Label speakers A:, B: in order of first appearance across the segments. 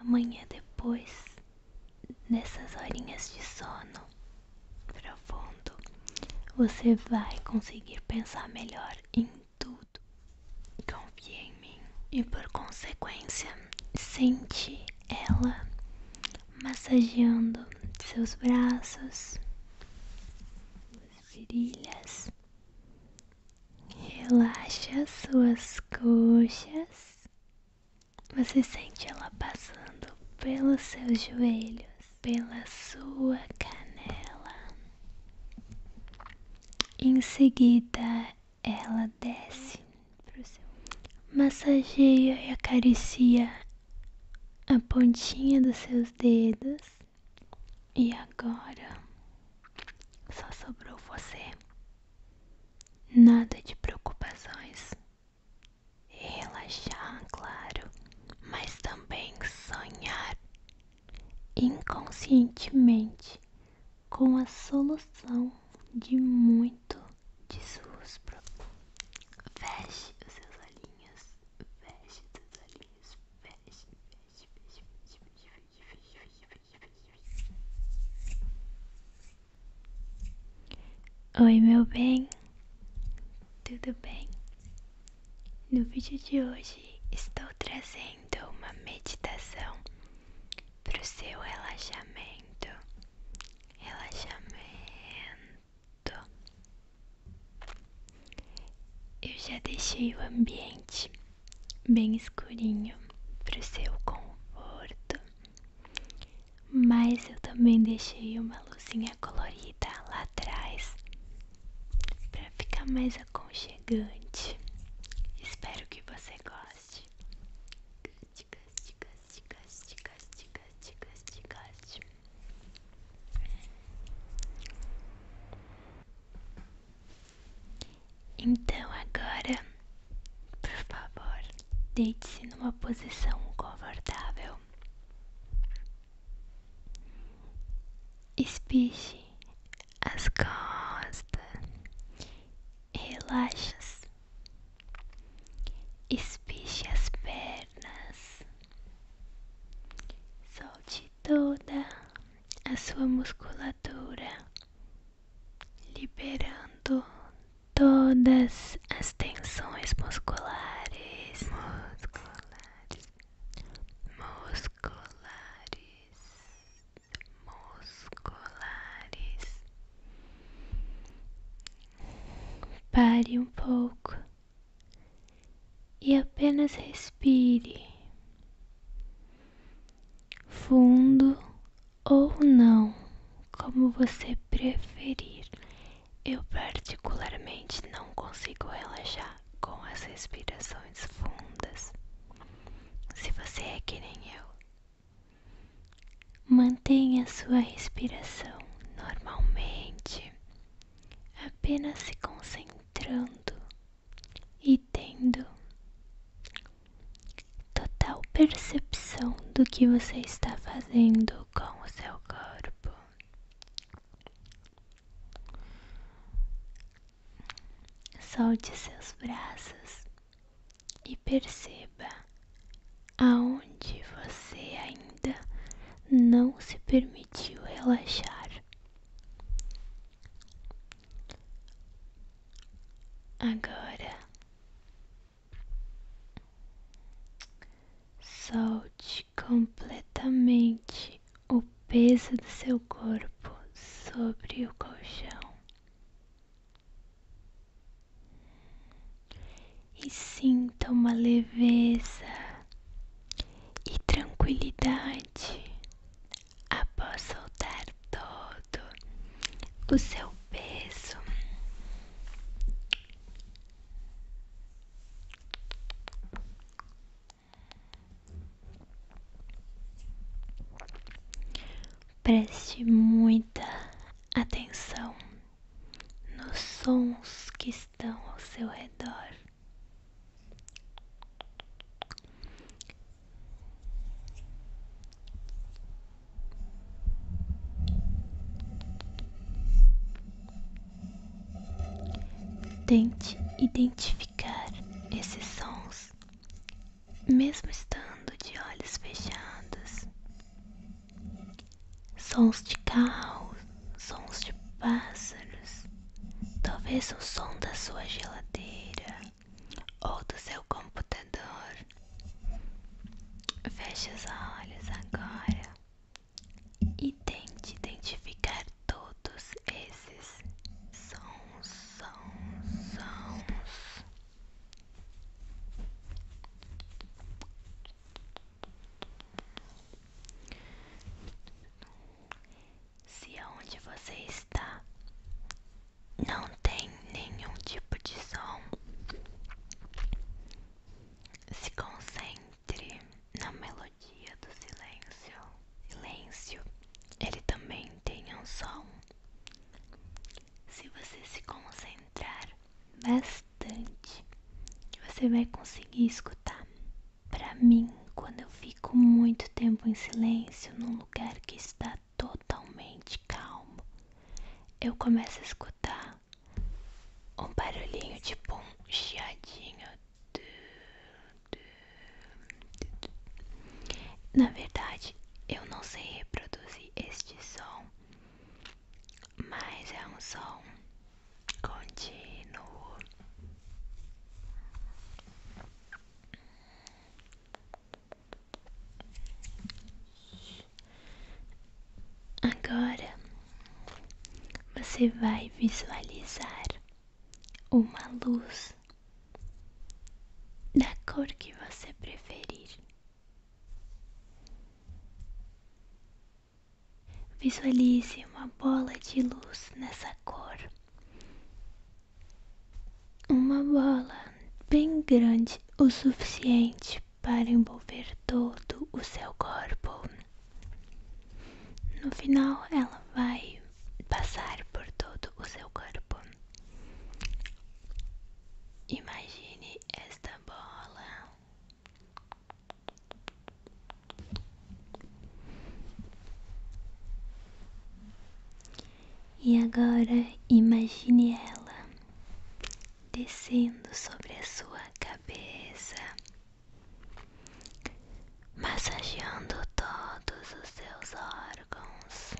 A: amanhã depois, nessas horinhas de sono profundo, você vai conseguir pensar melhor em tudo. Confie em mim e, por consequência, sente ela massageando seus braços, suas virilhas. Relaxa suas coxas. Você sente ela passando pelos seus joelhos, pela sua canela. Em seguida, ela desce pro seu. Massageia e acaricia a pontinha dos seus dedos. E agora só sobrou você. Nada de preocupações. Relaxar, claro, mas também sonhar inconscientemente com a solução de muito de suas problemas. Feche os seus olhinhos, feche os seus olhinhos, feche, feche, feche. feche. Oi, meu bem, tudo bem? No vídeo de hoje estou trazendo uma meditação para o seu relaxamento. Relaxamento. Eu já deixei o ambiente bem escurinho para o seu conforto. Mas eu também deixei uma luzinha colorida lá atrás para ficar mais aconchegante. Espero que você goste. Goste, goste, goste, goste, goste, goste, goste, goste. Então agora, por favor, deite-se numa posição confortável. Espiche as costas, relaxa, -se. espiche as pernas, solte toda a sua musculatura liberando todas as tensões musculares, musculares, musculares, musculares. Pare um pouco e apenas respire fundo ou não, como você preferir. Eu particularmente não consigo relaxar com as respirações fundas. Se você é que nem eu, mantenha sua respiração normalmente, apenas se concentrando e tendo total percepção do que você está fazendo com o seu corpo. Solte seus braços e perceba aonde você ainda não se permitiu relaxar. Agora solte completamente o peso do seu corpo sobre o colchão e sinta uma leveza e tranquilidade após soltar todo o seu peso. Preste muita atenção nos sons que estão ao seu redor. Tente identificar esses sons, mesmo estando de olhos fechados. Sons de carro, sons de pássaros, talvez o som da sua geladeira ou do seu computador. Feche os olhos agora e tente identificar todos esses sons, sons, sons. Se onde você está não tem nenhum tipo de som. Se concentre na melodia do silêncio. Silêncio, ele também tem um som. Se você se concentrar bastante, você vai conseguir escutar. Para mim, quando eu fico muito tempo em silêncio num lugar que está totalmente calmo, eu começo a escutar um barulhinho tipo um chiadinho. Na verdade, eu não sei reproduzir este som, mas é um som contínuo. Agora você vai visualizar uma luz da cor que você preferir. Visualize uma bola de luz nessa cor uma bola bem grande o suficiente para envolver todo o seu corpo. No final, ela vai passar por todo o seu corpo. Imagine esta bola e agora imagine ela descendo sobre a sua cabeça, massageando todos os seus órgãos.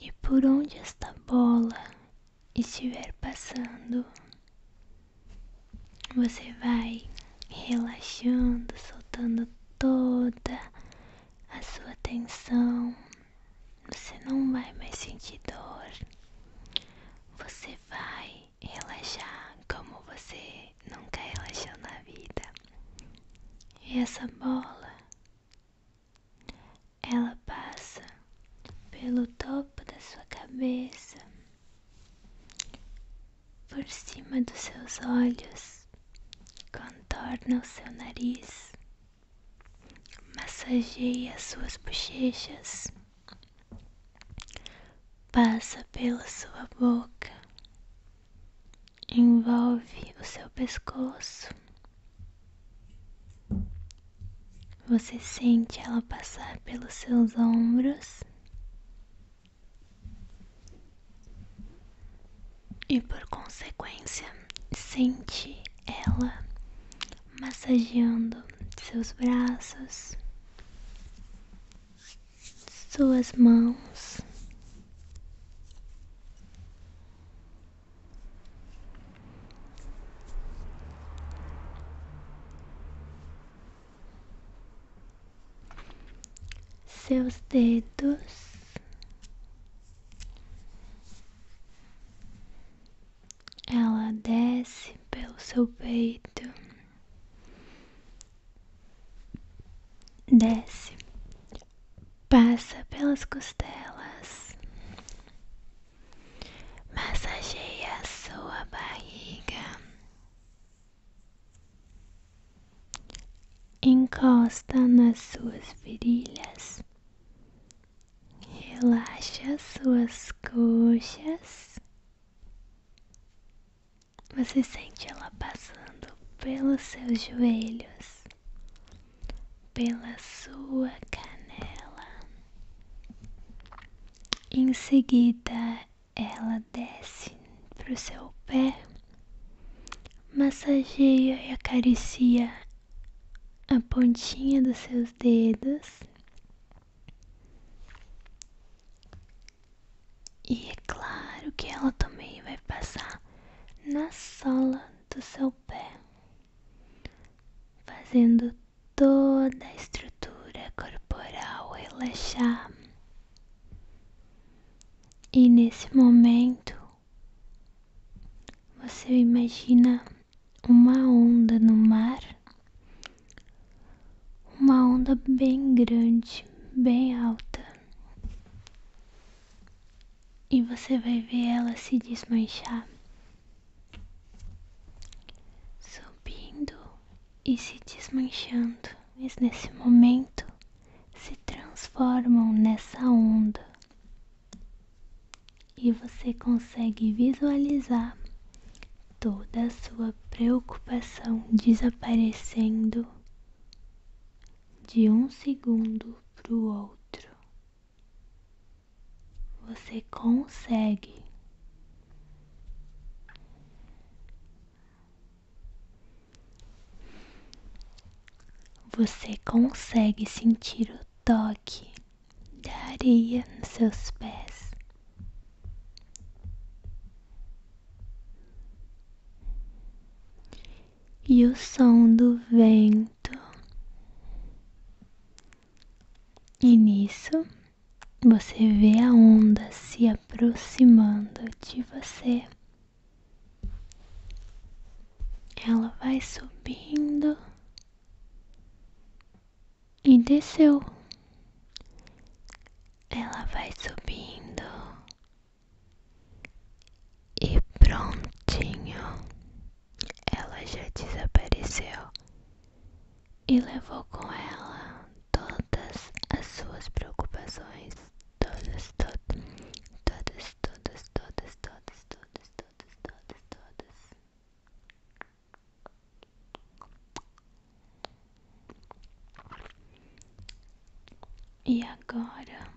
A: E por onde esta bola estiver passando, você vai relaxando, soltando toda a sua atenção, você não vai mais sentir dor, você vai relaxar como você nunca relaxou na vida. E essa bola, ela passa pelo topo da sua cabeça, por cima dos seus olhos, Contorna o seu nariz, massageia suas bochechas, passa pela sua boca, envolve o seu pescoço. Você sente ela passar pelos seus ombros e, por consequência, sente ela massageando seus braços, suas mãos. Seus dedos ela desce pelo seu peito, desce, passa pelas costelas, massageia sua barriga encosta nas suas virilhas, relaxa suas coxas. Você sente ela passando pelos seus joelhos, pela sua canela. Em seguida, ela desce para o seu pé Massageia e acaricia a pontinha dos seus dedos. E é claro que ela também vai passar na sola do seu pé, fazendo toda a estrutura corporal relaxar. E nesse momento, você imagina uma onda no mar, uma onda bem grande, bem alta, e você vai ver ela se desmanchar, subindo e se desmanchando, mas nesse momento se transformam nessa onda e você consegue visualizar toda a sua preocupação desaparecendo de um segundo para o outro. Você consegue. Você consegue sentir o toque da areia nos seus pés. E o som do vento. E nisso você vê a onda se aproximando de você. Ela vai subindo e desceu. Ela vai subindo e prontinho. Ela já desapareceu e levou com ela todas as suas preocupações, todas, todas, todas, todas, todas, todas, todas, todas, todas, todas. E agora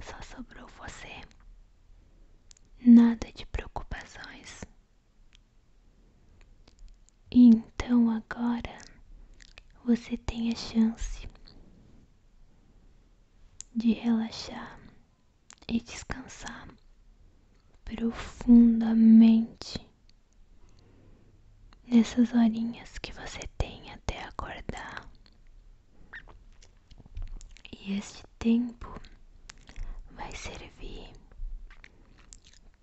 A: só sobrou você. Nada de preocupações. então agora você tem a chance de relaxar e descansar profundamente nessas horinhas que você tem até acordar. E este tempo vai servir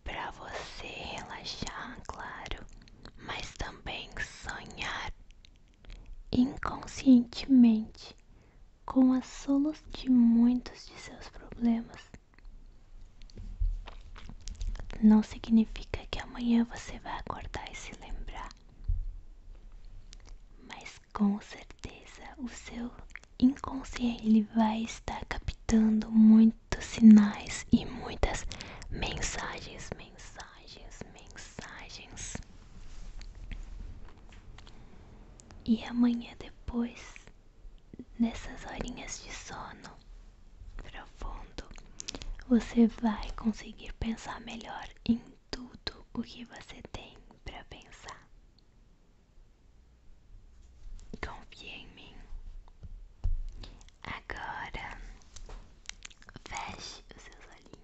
A: para você relaxar, claro, mas também sonhar inconscientemente com as solas de muitos de seus problemas. Não significa que amanhã você vai acordar e se lembrar, mas com certeza o seu inconsciente vai estar captando muitos sinais e muitas mensagens, mensagens mensagens, mensagens. E amanhã depois, nessas horinhas de sono profundo, você vai conseguir pensar melhor em tudo o que você tem para pensar. Confie em mim. Agora, feche os seus olhinhos